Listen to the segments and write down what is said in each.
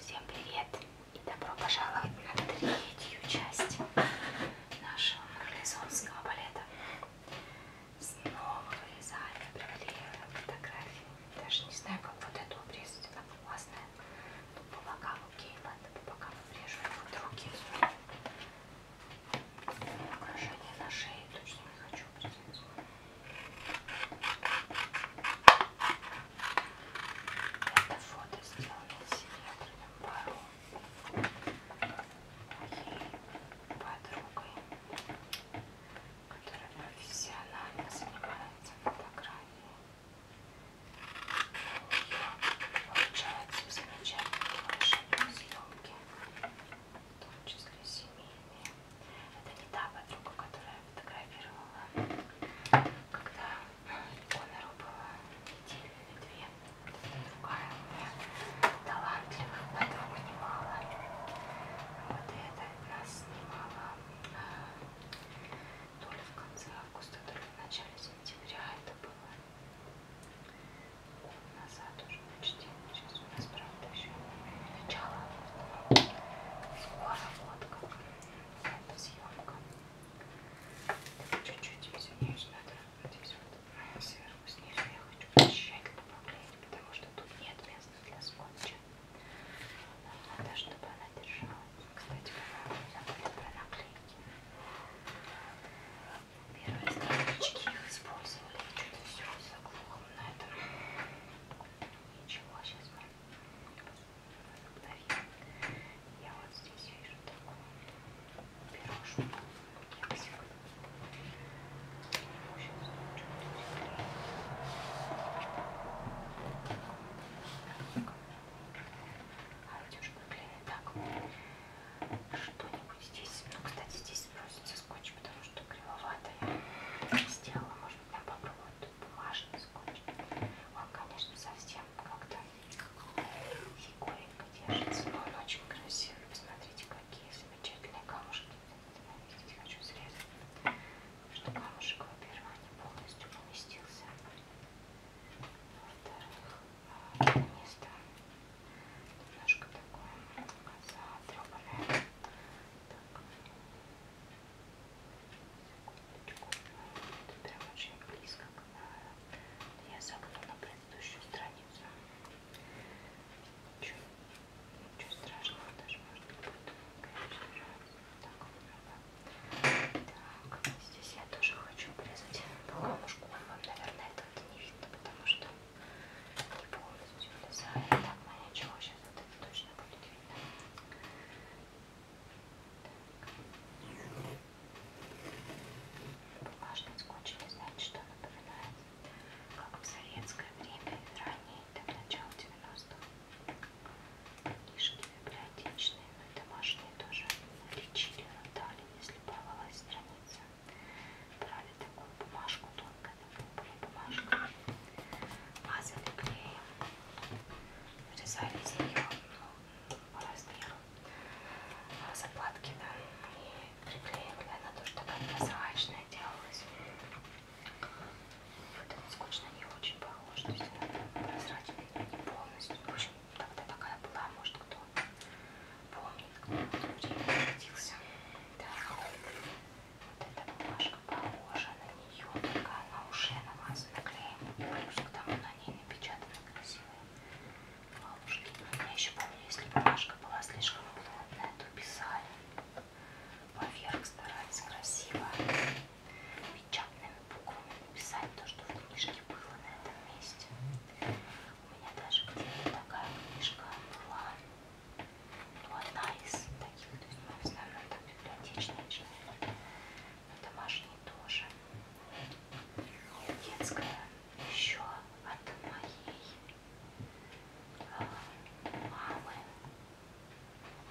Всем привет и добро пожаловать на третью часть нашего марлезонского балета. Снова вырезаем, приклеиваем фотографии. Даже не знаю, как вот эту обрезать, она типа, классная. Ну, по бокалу, окей, ладно, по бокалу обрежу. Вот руки. Украшение на шее точно не хочу обрезать. Это фото сделали серебряным пару моей подругой, которая профессионально занимается фотографией. У нее получаются замечательные съемки, в том числе семейные. Это не та подруга, которая фотографировала, когда Конору было неделю или две. Это другая у меня талантливых подруг немало. Вот и это нас снимала э, то ли в конце августа, то ли в начале сентября это было. Назад уже почти. Сейчас у нас правда, еще не начало. Скоро вот как эта съемка. Чуть-чуть извиняюсь, надо вот здесь вот сверху снизу я хочу тщательно поправлять, потому что тут нет места для скотча. Нам надо, чтобы она держалась. Кстати, по-моему, забыли про наклейки. Первые странички их использовали, что-то все заглохло на этом. Ничего, сейчас мы я вот здесь вижу такую пирожную кексик. Его сейчас лучше А ведь уж выглядит так. Что-нибудь здесь. Ну, кстати, здесь сбросится скотч, потому что кривовато я сделала можно прям попробовать тут бумажный скотч. Он, конечно, совсем как-то фигуренько держится, но он очень красивый. Посмотрите, какие замечательные камушки. Я здесь хочу срезать, потому что камушек, во-первых, не полностью поместился. Во-вторых, а, место немножко такое ну, затрепанное. Так, это прям очень близко к... Э, я загну на предыдущую страницу. Ничего, ничего страшного даже может быть. Конечно же. Так, так, здесь я тоже хочу обрезать полкомушку. Вам, наверное, это не видно, потому что не полностью лизаю. Так, моя чего сейчас? сейчас вот это точно будет видно. Так. Бумажный скотч не знает, что напоминает, как в советское время и ранее, до начала 90-х. Книжки библиотечные, но и домашние тоже лечили, но дали, если порвалась страница. Брали такую бумажку тонкой бумажкой, мазали клеем, вырезали из нее ну, по размеру заплатки да, и приклеивали. Она тоже такая прозрачная делалась. Вот она скучно не очень похожа, то есть она прозрачная не полностью. В общем, тогда такая была, может кто помнит, кто в то время родился. Да. Эта бумажка похожа на нее, только она уже намазана клеем. Плюс к тому на ней напечатаны красивые ловушки. Я еще помню, если бумажка была слишком плотная, то писали. Поверх старались красиво печатными буквами написать то, что в книжке было на этом месте. У меня даже где-то такая книжка была ну, одна из таких, то есть мы в основном там библиотечные читаем, но домашние тоже. И детская еще от моей э, мамы.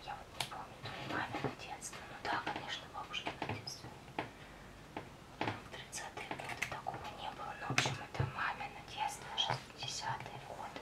Я вот не помню, то ли мамино детство. Ну да, конечно, бабушкино детство. В 30-е годы такого не было. Но ну, в общем это мамино детство, 60-е годы.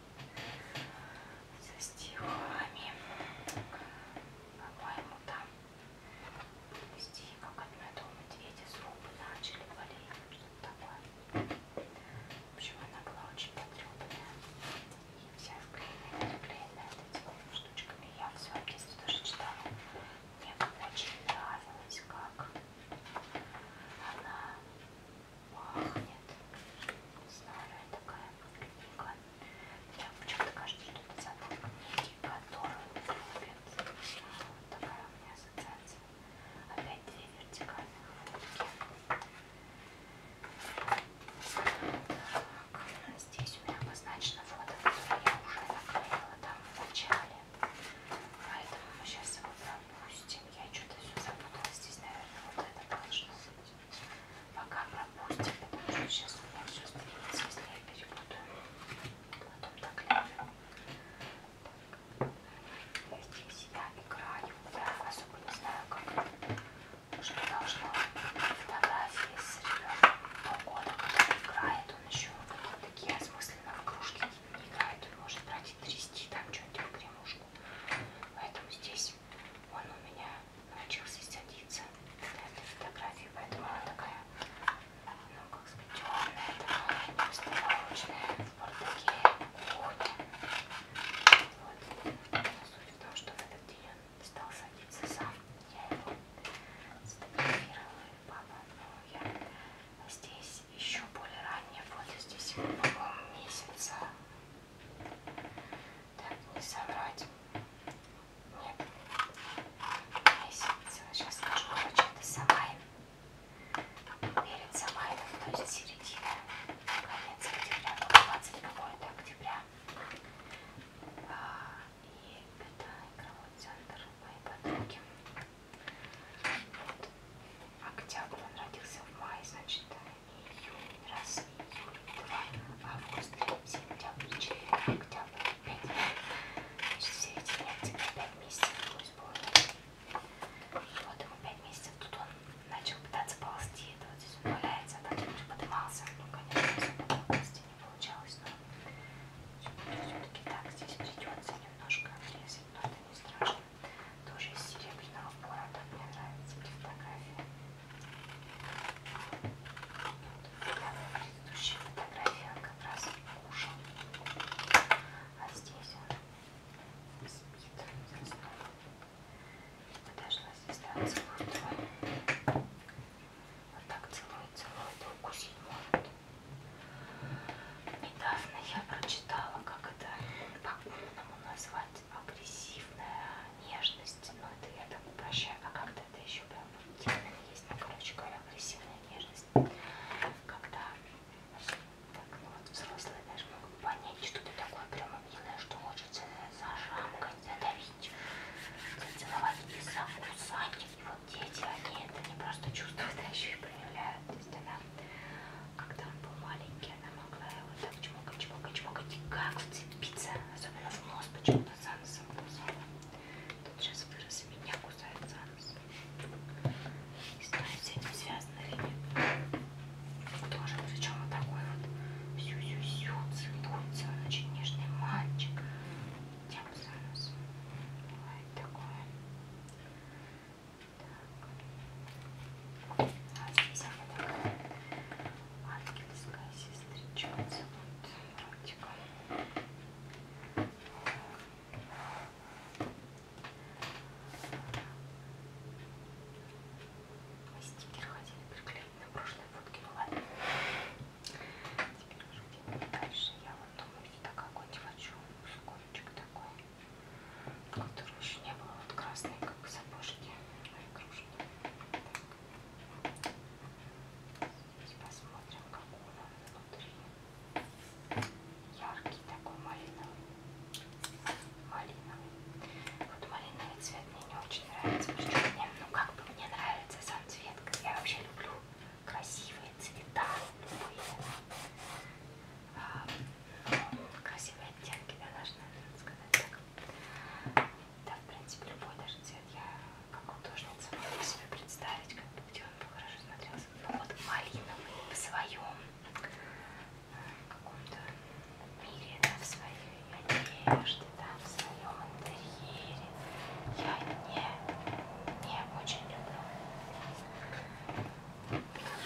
со стихами. По-моему, там стихи, как от медового медведя, зубы начали болеть, что-то такое. В общем, она была очень потрепанная. И вся вклеенная, вклеенная этими штучками. Я в своем детстве тоже читала. Мне очень нравилось, как она пахнет. Старая такая книга. Мне почему-то кажется, что это забор книги, которую любят. Вот такая у меня ассоциация. Опять две вертикальных фотки. Так, здесь у меня обозначено фото, которое я уже наклеила там в начале. Поэтому мы сейчас его пропустим. Я что-то все запуталась. Здесь, наверное, вот это должно быть. Пока пропустим, потому что сейчас у меня все стрелится, если я перепутаю. Потом так ляжем. Я здесь всегда играю. Я особо не знаю, как что должно фотографии с ребенком полгода, когда играет, он еще такие осмысленно в кружке не играет, он может брать и трясти там что-нибудь в гремушку. Поэтому здесь здесь. Он у меня научился садиться на этой фотографии, поэтому она такая, ну как сказать, темная, такая просто молочная, вот такие кухни. Вот. Суть в том, что в этот день он стал садиться сам. Я его сфотографировала, и папа, но я здесь еще более ранняя фото, здесь, по-моему, месяца так, не соврать. Нет. Месяц. Сейчас скажу, короче, это Самайн. Перед Самайном, то есть середина, конец октября, 20 ну, какой-то октября. А, и это игровой центр моей подруги. Вот. Октябрь он родился в мае, значит, июнь, раз, июль, два, август, сентябрь, четыре, октябрь, пять. Значит, все эти нефти на пять месяцев пусть будет. Вот его пять месяцев тут он начал пытаться ползти, это вот здесь он валяется, а потом уже поднимался. Ну, конечно, особо ползти не получалось, но все-таки так здесь придется немножко отрезать, но это не страшно. Тоже из серебряного борода. Мне нравятся эти фотографии. Я на предыдущей фотографии он как раз кушал. А здесь он спит. Подошла звезда на целую Вот так целует, целует, укусить может недавно я прочитала, как это по-умному назвать агрессивная нежность. Ну, это я так упрощаю, а как-то это еще прям термин есть. Ну, короче говоря, агрессивная нежность. Когда так, ну, вот взрослые даже могут понять, что ты такое прямо милое, что хочется зажамкать, задавить, зацеловать и закусать. И вот дети, они это не просто чувствуют, а еще и проявляют. То есть она когда он был маленький, она могла его так чмокать, чмокать, чмокать, и как вцепиться, особенно в нос, почему-то за носом кусала. Тут сейчас вырос, и меня кусает за нос. Не знаю, с этим связано или нет. Тоже, причем вот такой вот сю-сю-сю, целуется, он очень нежный мальчик. Тем за нос. Бывает такое. Так. А здесь она такая ангельская сестричка. Вот, мы стикер хотели приклеить на прошлой фотке, ну ладно. Теперь уже дальше. Я вот думаю, что такой какой хочу. Скорочек такой. Как-то рожи не было, вот красные, как сапожки, мои кружки. Так. Здесь посмотрим, как он внутри. Яркий такой малиновый. Малиновый. Вот малиновый цвет мне не очень нравится, потому что мне, ну как бы мне нравится сам цвет. Я вообще люблю красивые цвета, любые. А, красивые оттенки, да, даже, наверное, сказать так. Да, в принципе, любой даже цвет я как художница могу себе представить, как бы, где он бы хорошо смотрелся. Ну вот малиновый в своем э, каком-то мире, да, в своей одежде, да, в своем интерьере. Я не, не очень люблю.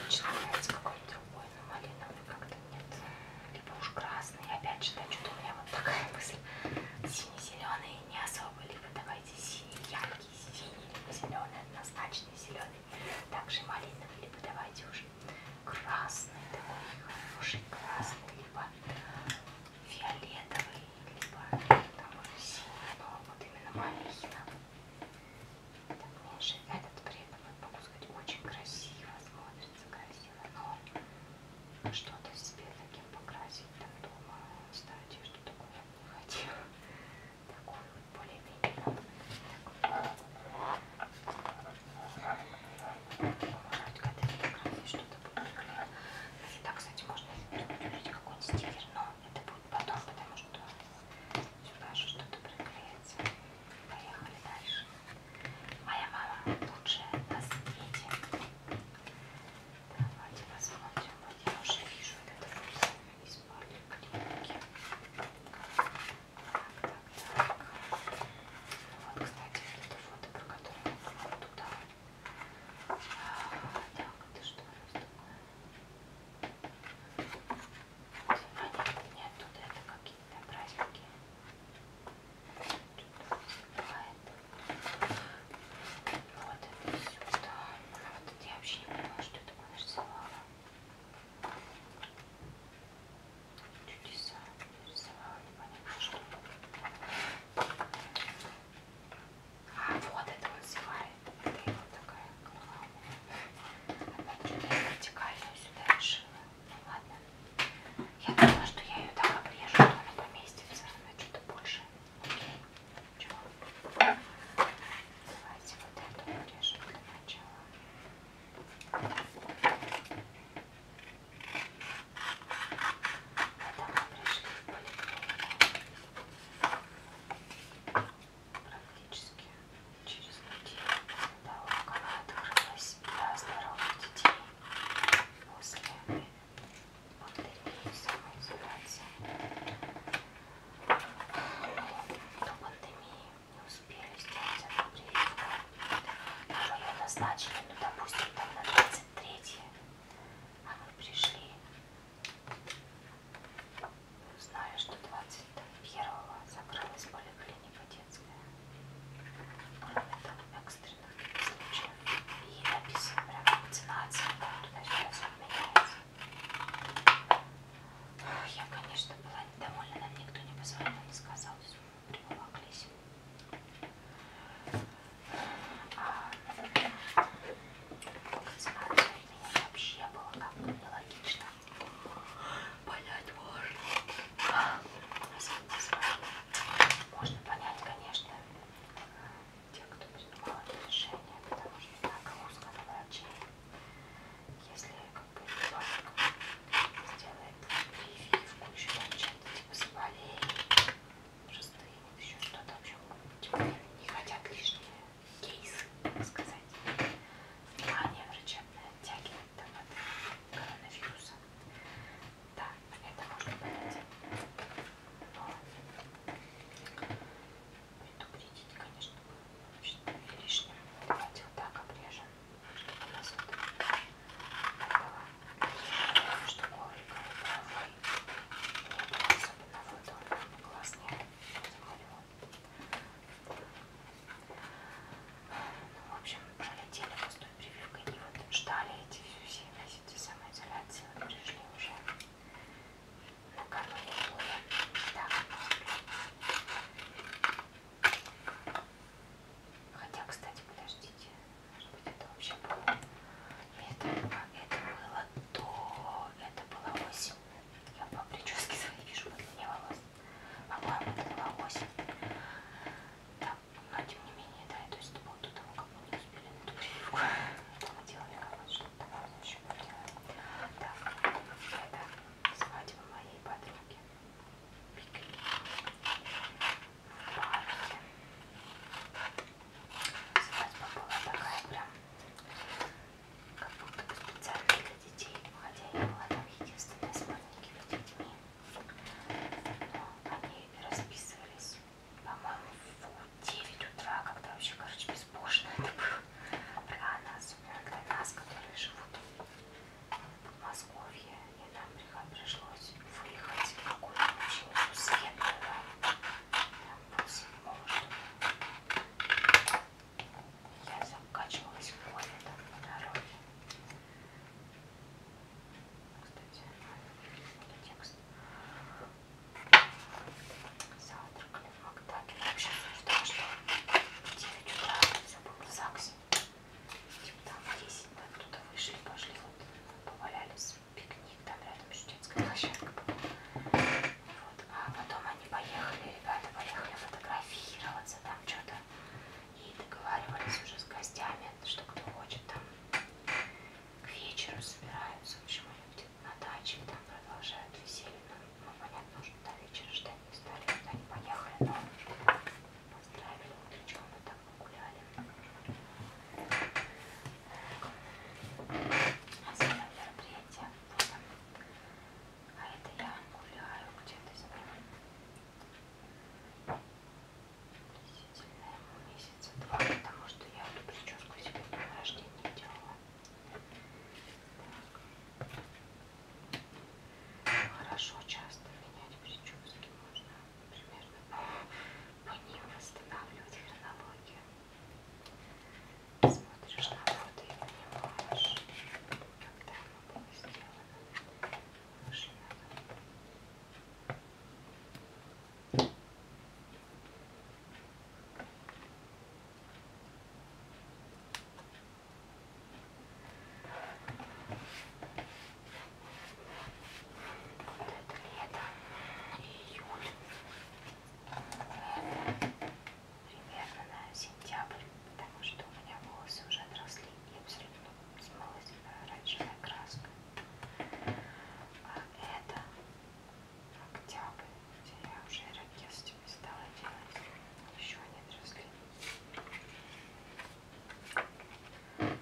Очень нравится какой-то другой, но малиновый как-то нет. Либо уж красный. Опять же, да, что-то у меня вот такая мысль. Синий-зеленый не особо. Либо давайте синий, яркий, синий, либо зеленый, однозначно зеленый. Также малиновый, либо давайте уже красный, такой хороший красный, либо фиолетовый, либо там синий, но вот именно малина. Это брошь. Этот при этом, я могу сказать, очень красиво смотрится, красиво, но что-то себе таким покрасить там дома, кстати, что такое я не хотела. Такой вот более-менее Вроде когда я что-то буду Да, кстати, можно увидеть какой-нибудь стикер, но это потом, потому что сюда же что-то приклеится. Поехали дальше. Моя мама лучшая на свете. Давайте посмотрим. Вот я уже вижу этот рулон из поликлиники. Так, так, так. Вот, кстати, это фото, про которое я говорила туда. А, так, это что раз такое? Понятно, нет, тут это какие-то праздники. Что-то выступает. Вот это сюда. А вот это я вообще не поняла, что это нарисовала. Чудеса нарисовала, непонятно что. А, вот это вот зевает. Это его вот такая голова. Опять же, я вертикальную сюда решила. Ну ладно. Я думала, что я ее так обрежу, что она поместится. Она что-то больше. Окей. Чего? Давайте вот эту обрежем для начала. Это мы пришли в поликлинику практически через неделю до того, как она открылась для здоровых детей после пандемии самоизоляции. До пандемии не успели сделать одну прививку, которую назначили, ну допустим, там на 23 а мы пришли Знаю, что 21-го закрылась поликлиника детская. Кроме там экстренных случаев. И написано прям вакцинация, как туда сейчас отменяется. Я, конечно, была недовольна, нам никто не позвонил, не сказал, что мы приволоклись а, диссонанс времени вообще было как-то нелогично. Понять можно. Можно понять, конечно, те, кто принимал это решение, потому что так узко на врачей. Если как бы ребенок сделает прививку, еще чем-то типа заболеет, шестые, еще что-то, в общем, не хотят лишние кейсы, так сказать, внимание врачебное оттягивать там от коронавируса. Да, это можно понять. Но предупредить, конечно, было лишним. Давайте вот так обрежем, чтобы у нас вот этого, чтобы коврика особенно фото, классные, смотрю. Ну, в общем, пролетели пустой прививкой, и вот ждали эти все месяцы самоизоляции, вот пришли уже накануне боя. Так. Хотя, кстати, подождите, может быть, это вообще было это было, это было до, это было осень. Я по прическе своей вижу подлиннее волос. По-моему, это было осень. Да, но тем не менее, да, то есть это было до того, как мы не успели на эту прививку. Это мы делали как что-то еще Да, это свадьба моей подруги. Пикник. Парки. Свадьба была такая прям, как будто бы специально для детей, хотя я была там единственная с маленькими детьми. Но они расписывались, по-моему, в 9 утра, когда вообще, короче, безбожно это было. Рано, особенно для нас, которые живут в Подмосковье, и нам пришлось выехать в какую-то очень светлую всего, что я закачивалась в море там по дороге. Кстати, это текст. Завтракали в Макдаке. Я вообще обсуждала, что в 9 утра забыл в ЗАГСе. Типа там в 10 мы оттуда вышли, пошли, вот повалялись пикник, там рядом шутецкая площадка была. Вот. А потом они поехали, ребята поехали фотографироваться там что-то и договаривались уже с гостями, что кто хочет там к вечеру собираются, в общем, они где-то на даче там продолжают веселье, но ну, понятно, что до вечера ждать не стали, куда они поехали, но поздравили утречком и так гуляли. А за мероприятие будем. А это я гуляю где-то с ним. Относительно ему месяца два, потому что я эту прическу себе на рождение делала. Так. Хорошо часто менять прически можно примерно по, по ним восстанавливать хронологию. Смотришь на фото и понимаешь, когда оно было сделано. Выше надо. Ой, вот это лето, июль. Это примерно на сентябрь, потому что у меня волосы уже отросли и абсолютно смылась оранжевая краска. А это октябрь, где я уже ракетами стала делать. Еще они отросли.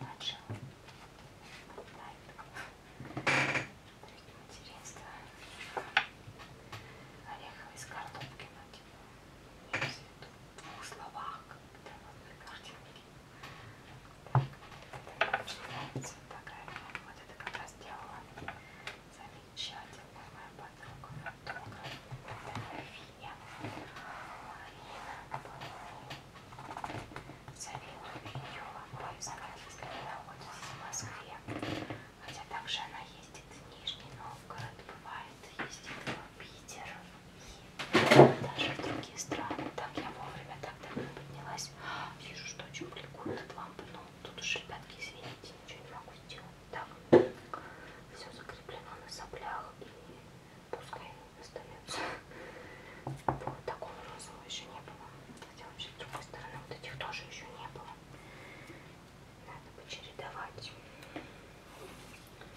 начал материнство ореховый из картопки на типа в двух словах как-то в одной картинке так, это мне очень нравится фотография вот это как раз делала замечательная моя подруга фотография Марина Половина София Матвеева была издательская работница в Москве, хотя также она ездит в Нижний Новгород, бывает, ездит в Питер и даже в другие страны. Так я вовремя так давно поднялась. Вижу, что очень бликует от лампы, но тут уж, ребятки, извините, ничего не могу сделать. Так, все закреплено на соплях и пускай остается. Вот такого розового еще не было. Хотя вообще с другой стороны вот этих тоже еще не было. Надо бы чередовать.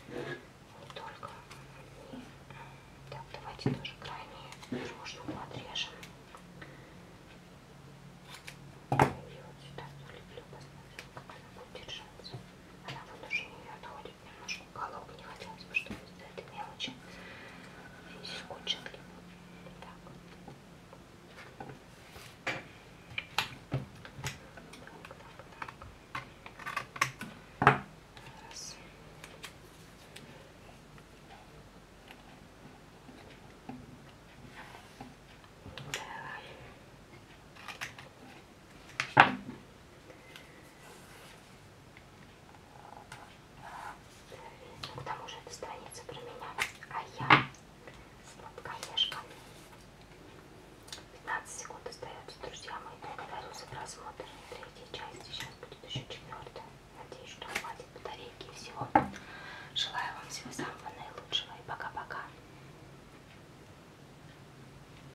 Вот только. Так, давайте тоже крайние рожку отрежем. И вот сюда залеплю, посмотрим, как она будет держаться. Она вот уже не отходит немножко уголок. Не хотелось бы, чтобы из-за этой мелочи здесь кончили. Так. Так, так, так. Раз. Давай. Ну, к тому же эта страница про меня, а я сладкоежка. 15 секунд остается, друзья мои. Благодарю за просмотр третьей части. Сейчас будет еще четвертая. Надеюсь, что хватит батарейки и всего. Желаю вам всего самого наилучшего и пока-пока.